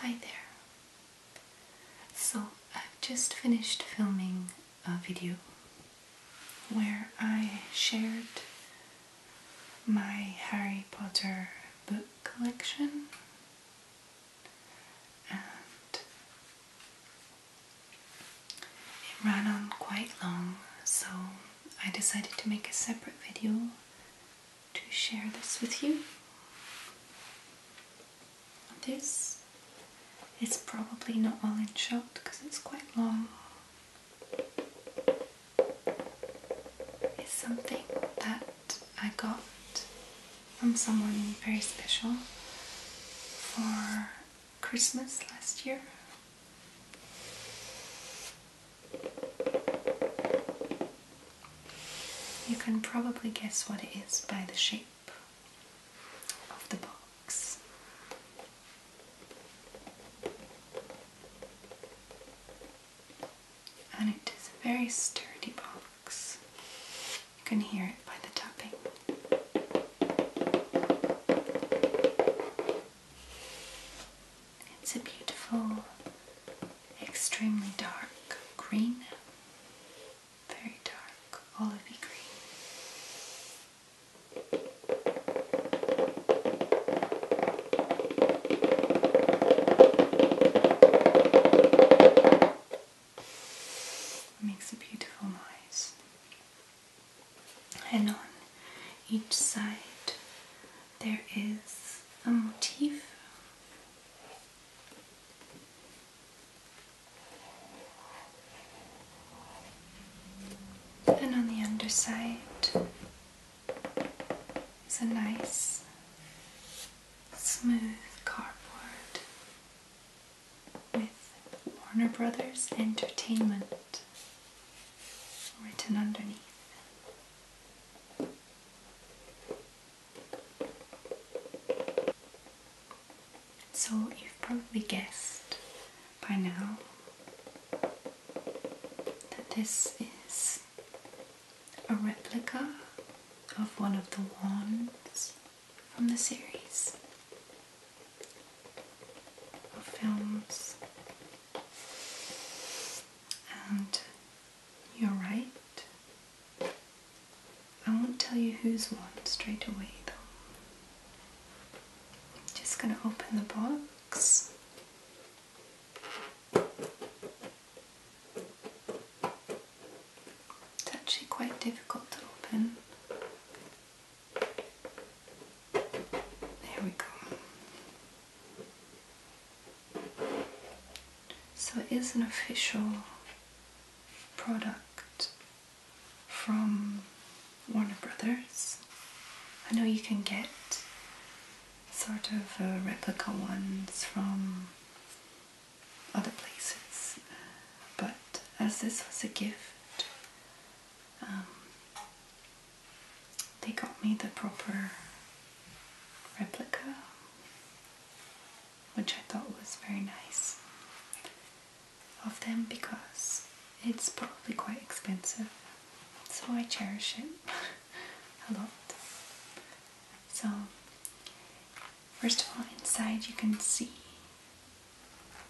Hi there. So, I've just finished filming a video where I shared my Harry Potter book collection it ran on quite long, so I decided to make a separate video to share this with you. This is probably not all in shot because it's quite long. It's something that I got from someone very special for Christmas last year. You can probably guess what it is by the shape of the box. And it is a very sturdy box. You can hear it by the tapping. It's a beautiful extremely dark green, very dark olivey green. makes a beautiful noise. And on each side there is a motif and on the underside is a nice smooth cardboard with Warner Brothers Entertainment written underneath. So you've probably guessed by now that this is a replica of one of the wands from the series of films and you're right. I won't tell you who's won straight away though. I'm just going to open the box. It's actually quite difficult to open. There we go. So it is an official product from Warner Brothers. I know you can get sort of uh, replica ones from other places, but as this was a gift, um, they got me the proper replica which I thought was very nice of them because it's probably quite expensive, so I cherish it a lot. So, first of all, inside you can see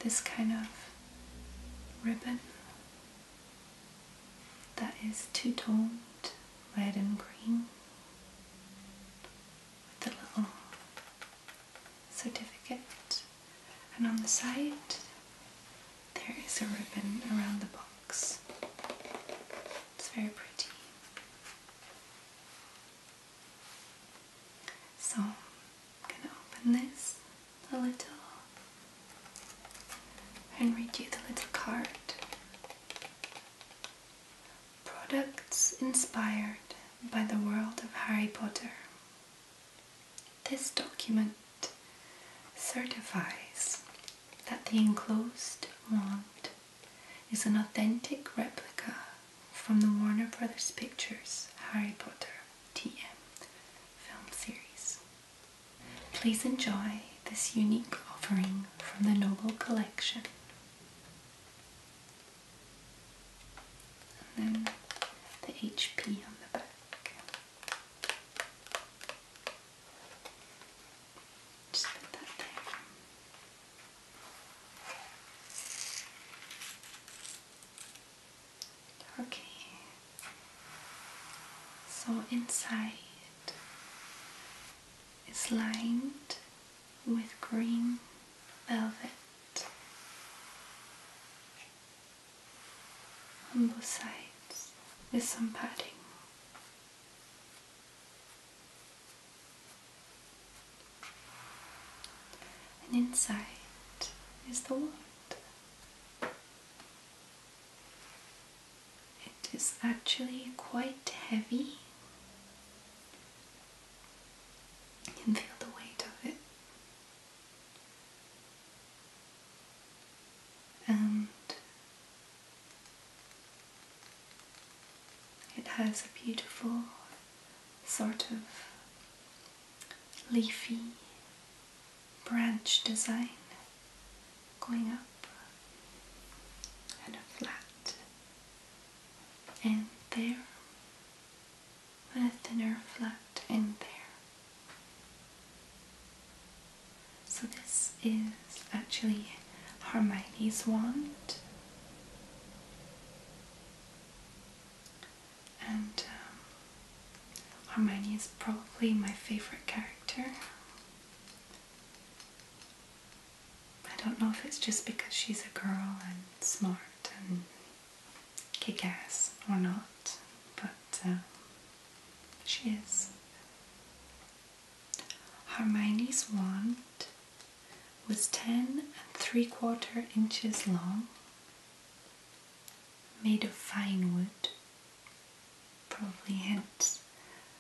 this kind of ribbon that is two toned red and green with the little certificate, and on the side there is a ribbon around the box. It's very pretty. So I'm gonna open this a little and read you the little card. Products inspired by the world of Harry Potter. This document certifies that the enclosed wand is an authentic replica from the Warner Brothers Pictures Harry Potter TM film series. Please enjoy this unique offering from the Noble Collection and then the HP on the back. Just put that there. Okay, so inside is lined with green velvet on both sides with some padding. And inside is the wand. It is actually quite heavy can feel the weight of it. And it has a beautiful sort of leafy branch design going up and a flat and there, with the nerve left in there. So this is actually Hermione's wand. And um, Hermione is probably my favourite character. I don't know if it's just because she's a girl and smart and kick ass or not, but uh, she is. Hermione's wand was 10 and 3 quarter inches long, made of fine wood, probably hence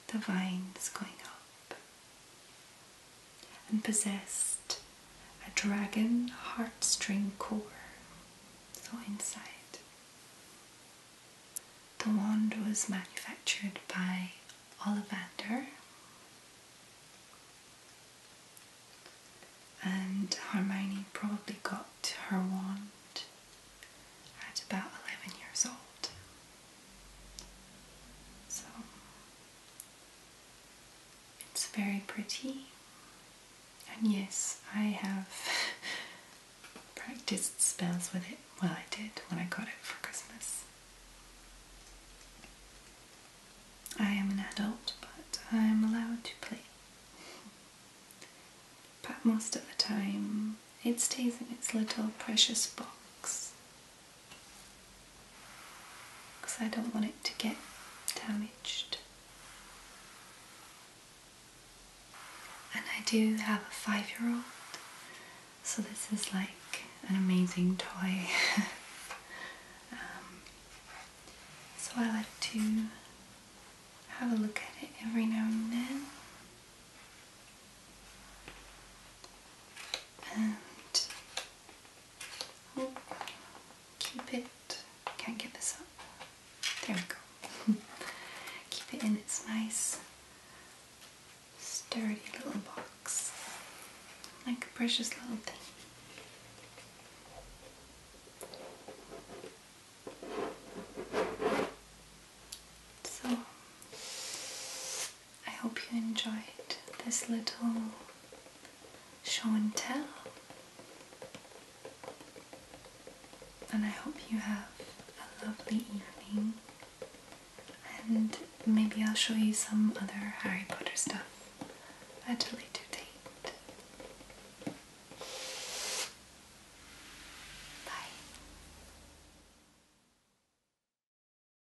the vines going up and possessed a dragon heartstring core, so inside. The wand was manufactured by Ollivander and Hermione probably got her wand at about 11 years old. So it's very pretty, and yes, I have practiced spells with it. Well, I did when I got it for Christmas. I am an adult, but I'm allowed to play. But most of the time, it stays in its little precious box because I don't want it to get damaged. And I do have a five year old, so this is like an amazing toy. Um, so I like to have a look at it every now and then and oh, keep it, can't get this up, there we go, keep it in its nice sturdy little box, like a precious little thing. So I hope you enjoyed this little show and tell. And I hope you have a lovely evening. And maybe I'll show you some other Harry Potter stuff at a later date. Bye.